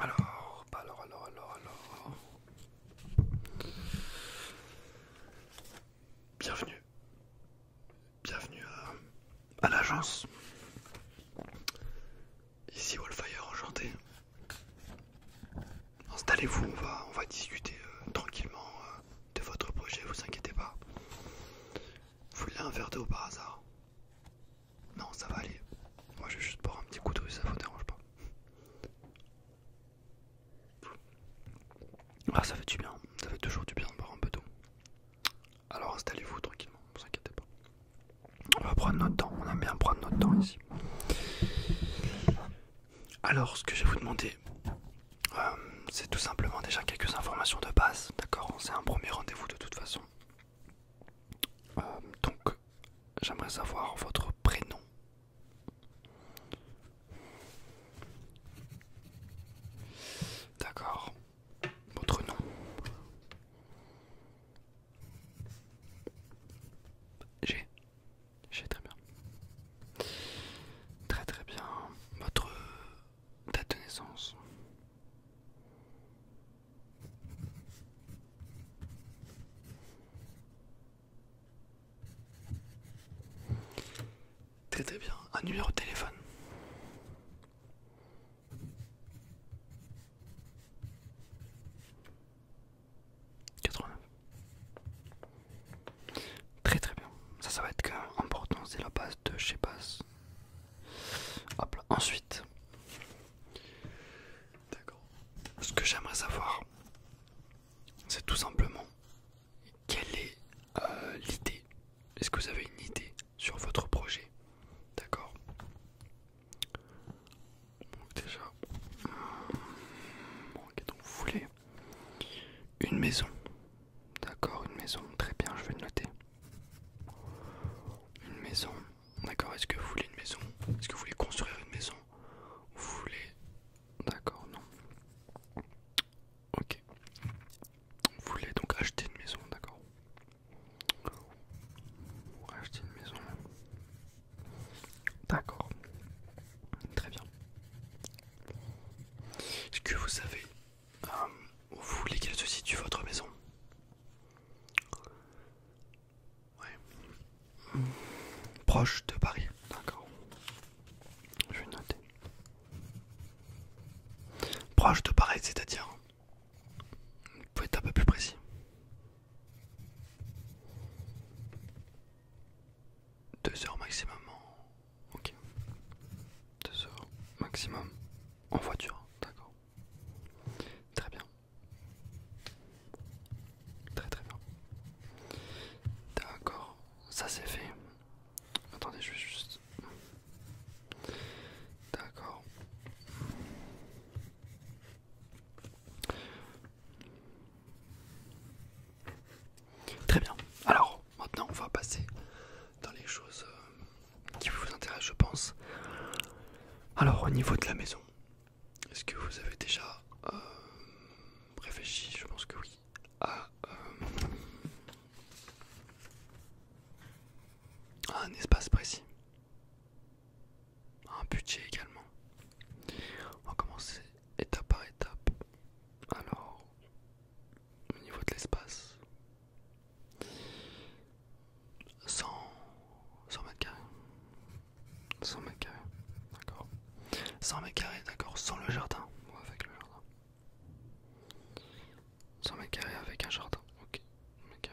Alors, bah alors, alors, alors, alors. Bienvenue. Bienvenue à, l'agence. Ici Wallfire, enchanté. Installez-vous, on va, discuter euh, tranquillement euh, de votre projet, vous inquiétez pas. Vous voulez un verre d'eau par hasard non, ça va aller. Moi, je vais juste boire un petit coup d'eau ça vous dérange pas. Ah, ça fait du bien. Ça fait toujours du bien de boire un peu d'eau. Alors installez-vous tranquillement, ne vous inquiétez pas. On va prendre notre temps, on aime bien prendre notre temps ici. Alors, ce que je vais vous demander, euh, c'est tout simplement déjà quelques informations de base, d'accord C'est un premier rendez-vous de toute façon. Euh, donc, j'aimerais savoir votre prénom. D'accord. Votre nom. J'ai. J'ai très bien. Très très bien. Votre date de naissance. Très très bien, un numéro de téléphone. Très très bien, ça ça va être important, c'est la base de chez PAS Hop Ensuite, Ce que j'aimerais savoir, c'est tout simplement quelle est euh, l'idée. Est-ce que vous avez une idée sur votre projet, d'accord déjà, hum, donc vous voulez une maison, d'accord, une maison. Très bien, je vais le noter. Une maison, d'accord, est-ce que vous voulez une maison Est-ce que vous voulez construire une maison Vous voulez... D'accord, non. Ok. Vous voulez donc acheter une maison, d'accord Acheter une maison. D'accord. Très bien. Est-ce que vous savez... où euh, vous voulez qu'elle se situe votre maison Proche de Paris, d'accord. Je vais noter. Proche de Paris, c'est-à-dire. Vous pouvez être un peu plus précis. Deux heures maximum Ok. Deux heures maximum en voiture, d'accord. Très bien. Très très bien. D'accord, ça c'est fait. Attendez, je vais juste... D'accord. Très bien. Alors, maintenant on va passer dans les choses... Euh, qui vous intéresse, je pense. Alors, au niveau de la maison, est-ce que vous avez déjà euh, réfléchi Je pense que oui. À, euh, à un espace précis, un budget également. On va commencer étape par étape. Alors, au niveau de l'espace, 100, mètres carrés. 100 mètres carrés, d'accord. 100 mètres carrés, d'accord, sans le jardin ou avec le jardin. 100 mètres carrés avec un jardin, ok. 100 mètres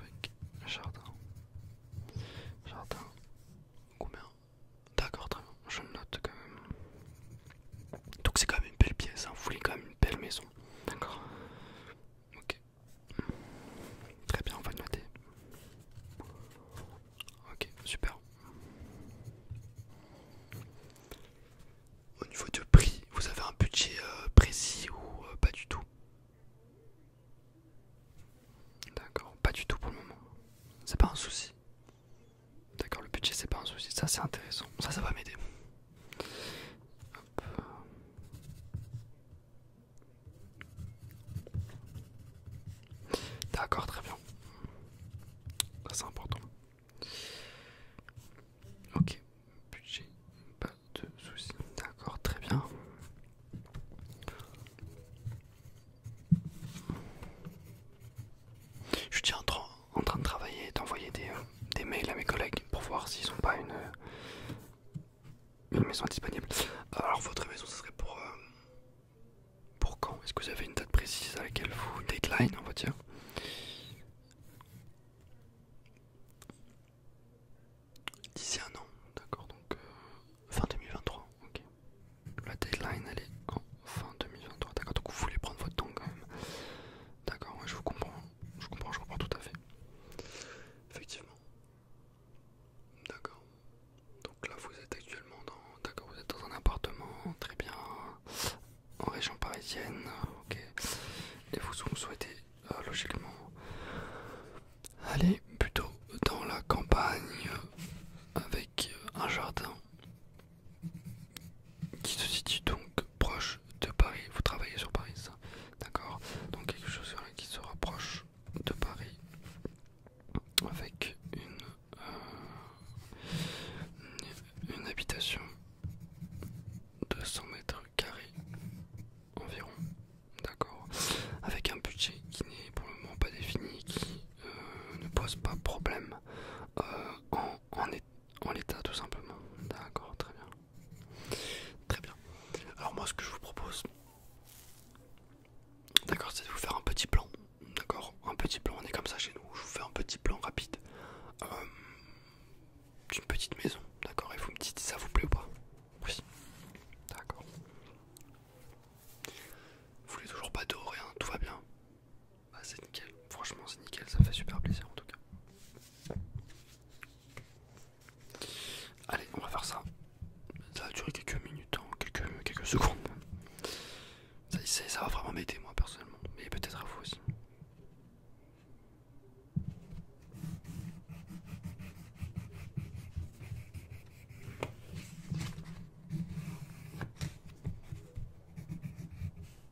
avec un jardin. Jardin, combien D'accord, très bien, je note quand même. Donc c'est quand même une belle pièce, hein. vous voulez quand même une belle maison. D'accord Ok. Très bien, on va noter. Ok, super. Au niveau de prix, vous avez un budget euh, précis ou euh, pas du tout D'accord, pas du tout pour le moment. C'est pas un souci. D'accord, le budget c'est pas un souci. Ça c'est intéressant. Ça, ça va m'aider. D'accord, très bien. c'est important. Ok, budget, pas de soucis. D'accord, très bien. Je tiens en train de travailler et d'envoyer des, euh, des mails à mes collègues pour voir s'ils ont pas euh, une, maison disponible. Euh, alors votre maison ce serait pour, pour quand Est-ce que vous avez une date précise à laquelle vous deadline on va dire D'ici un an, d'accord, donc fin 2023, ok. La deadline elle est en fin 2023, d'accord, donc vous voulez prendre votre temps quand même. D'accord, je vous comprends. Je comprends, je comprends tout à fait. Effectivement. D'accord. Donc là, vous êtes actuellement dans. D'accord, vous êtes dans un appartement, très bien, en région parisienne, ok. Et vous, souhaitez, euh, logiquement, aller plutôt dans la campagne avec un jardin qui se situe donc proche de Paris, vous travaillez sur Paris, D'accord Donc quelque chose qui se rapproche de Paris avec une, euh, habitation de 100 mètres carrés environ. D'accord Avec un budget qui n'est pour le moment pas défini, qui euh, ne pose pas problème euh, en, étant en l'état tout simplement. D'accord, très bien. Très bien. Alors moi ce que je vous propose, d'accord, c'est de vous faire un petit plan. D'accord, un petit plan, on est comme ça chez nous. Je vous fais un petit plan rapide euh, d'une petite maison. D'accord, et vous me dites si ça vous plaît ou pas. Oui. D'accord. Vous voulez toujours pas d'eau, rien, tout va bien. Bah, c'est nickel, franchement c'est nickel, ça fait super plaisir en tout cas. Allez, on va faire ça. Ça va durer quelques minutes, hein, quelques, secondes. Ça, ça va vraiment m'aider moi personnellement, mais peut-être à vous aussi.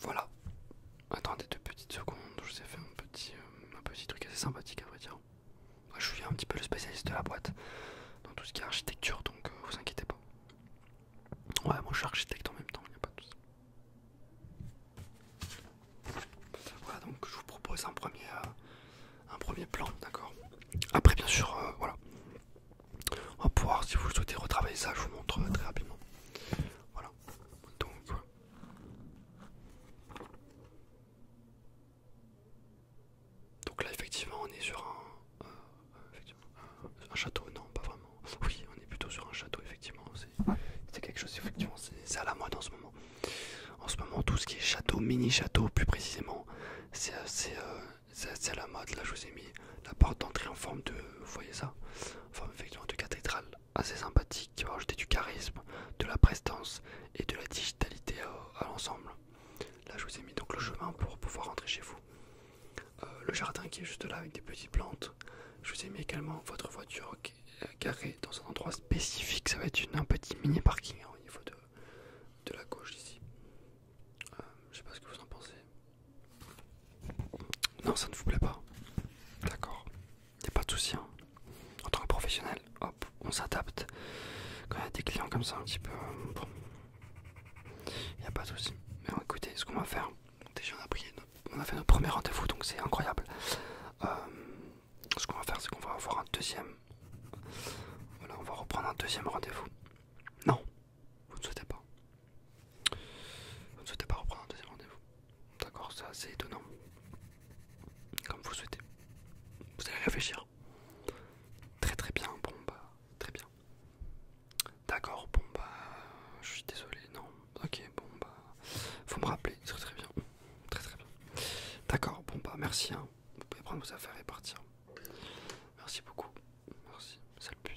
Voilà. Attendez deux petites secondes, je vous ai fait un petit, euh, un petit truc assez sympathique à vrai dire. Moi, je suis un petit peu le spécialiste de la boîte dans tout ce qui est architecture, donc euh, vous inquiétez pas. Ouais, moi je suis architecte en même temps, il n'y a pas tout ça Voilà, donc je vous propose un premier, euh, un premier plan, d'accord Après, bien sûr, euh, voilà. On va pouvoir, si vous souhaitez retravailler ça, je vous montre euh, très rapidement. Voilà, donc Donc là, effectivement, on est sur un. Un château, non, pas vraiment. Oui, on est plutôt sur un château, effectivement. C'est quelque chose, effectivement, c'est à la mode en ce moment. En ce moment, tout ce qui est château, mini-château, plus précisément, euh, euh, c'est c'est à la mode. Là, je vous ai mis la porte d'entrée en forme de, voyez ça, en forme effectivement de cathédrale, assez sympathique, qui va rajouter du charisme, de la prestance et de la digitalité à, l'ensemble. Là, je vous ai mis donc le chemin pour pouvoir rentrer chez vous. Euh, le jardin qui est juste là avec des petites plantes. Je vous ai mis également votre voiture carrée dans un endroit spécifique. Ça va être une, un petit mini parking hein, au niveau de, la gauche ici. Euh, je sais pas ce que vous en pensez. Non, ça ne vous plaît pas. D'accord. Y a pas de souci. Hein. En tant que professionnel, hop, on s'adapte. Quand il y a des clients comme ça, un petit peu, euh, Y'a a pas de souci. Mais écoutez, ce qu'on va faire, déjà on a on a fait notre premier rendez-vous donc c'est incroyable. Euh, ce qu'on va faire c'est qu'on va avoir un deuxième. Voilà, on va reprendre un deuxième rendez-vous. Non, vous ne souhaitez pas. Vous ne souhaitez pas reprendre un deuxième rendez-vous. D'accord, ça c'est assez étonnant. Comme vous souhaitez. Vous allez réfléchir. Très très bien, bon bah très bien. D'accord, bon bah, je suis désolé, non. Ok, bon bah, faut me rappeler, très très bien, très très bien. D'accord, bon bah, merci, hein. vous pouvez prendre vos affaires et partir. Merci beaucoup, merci, c'est le but.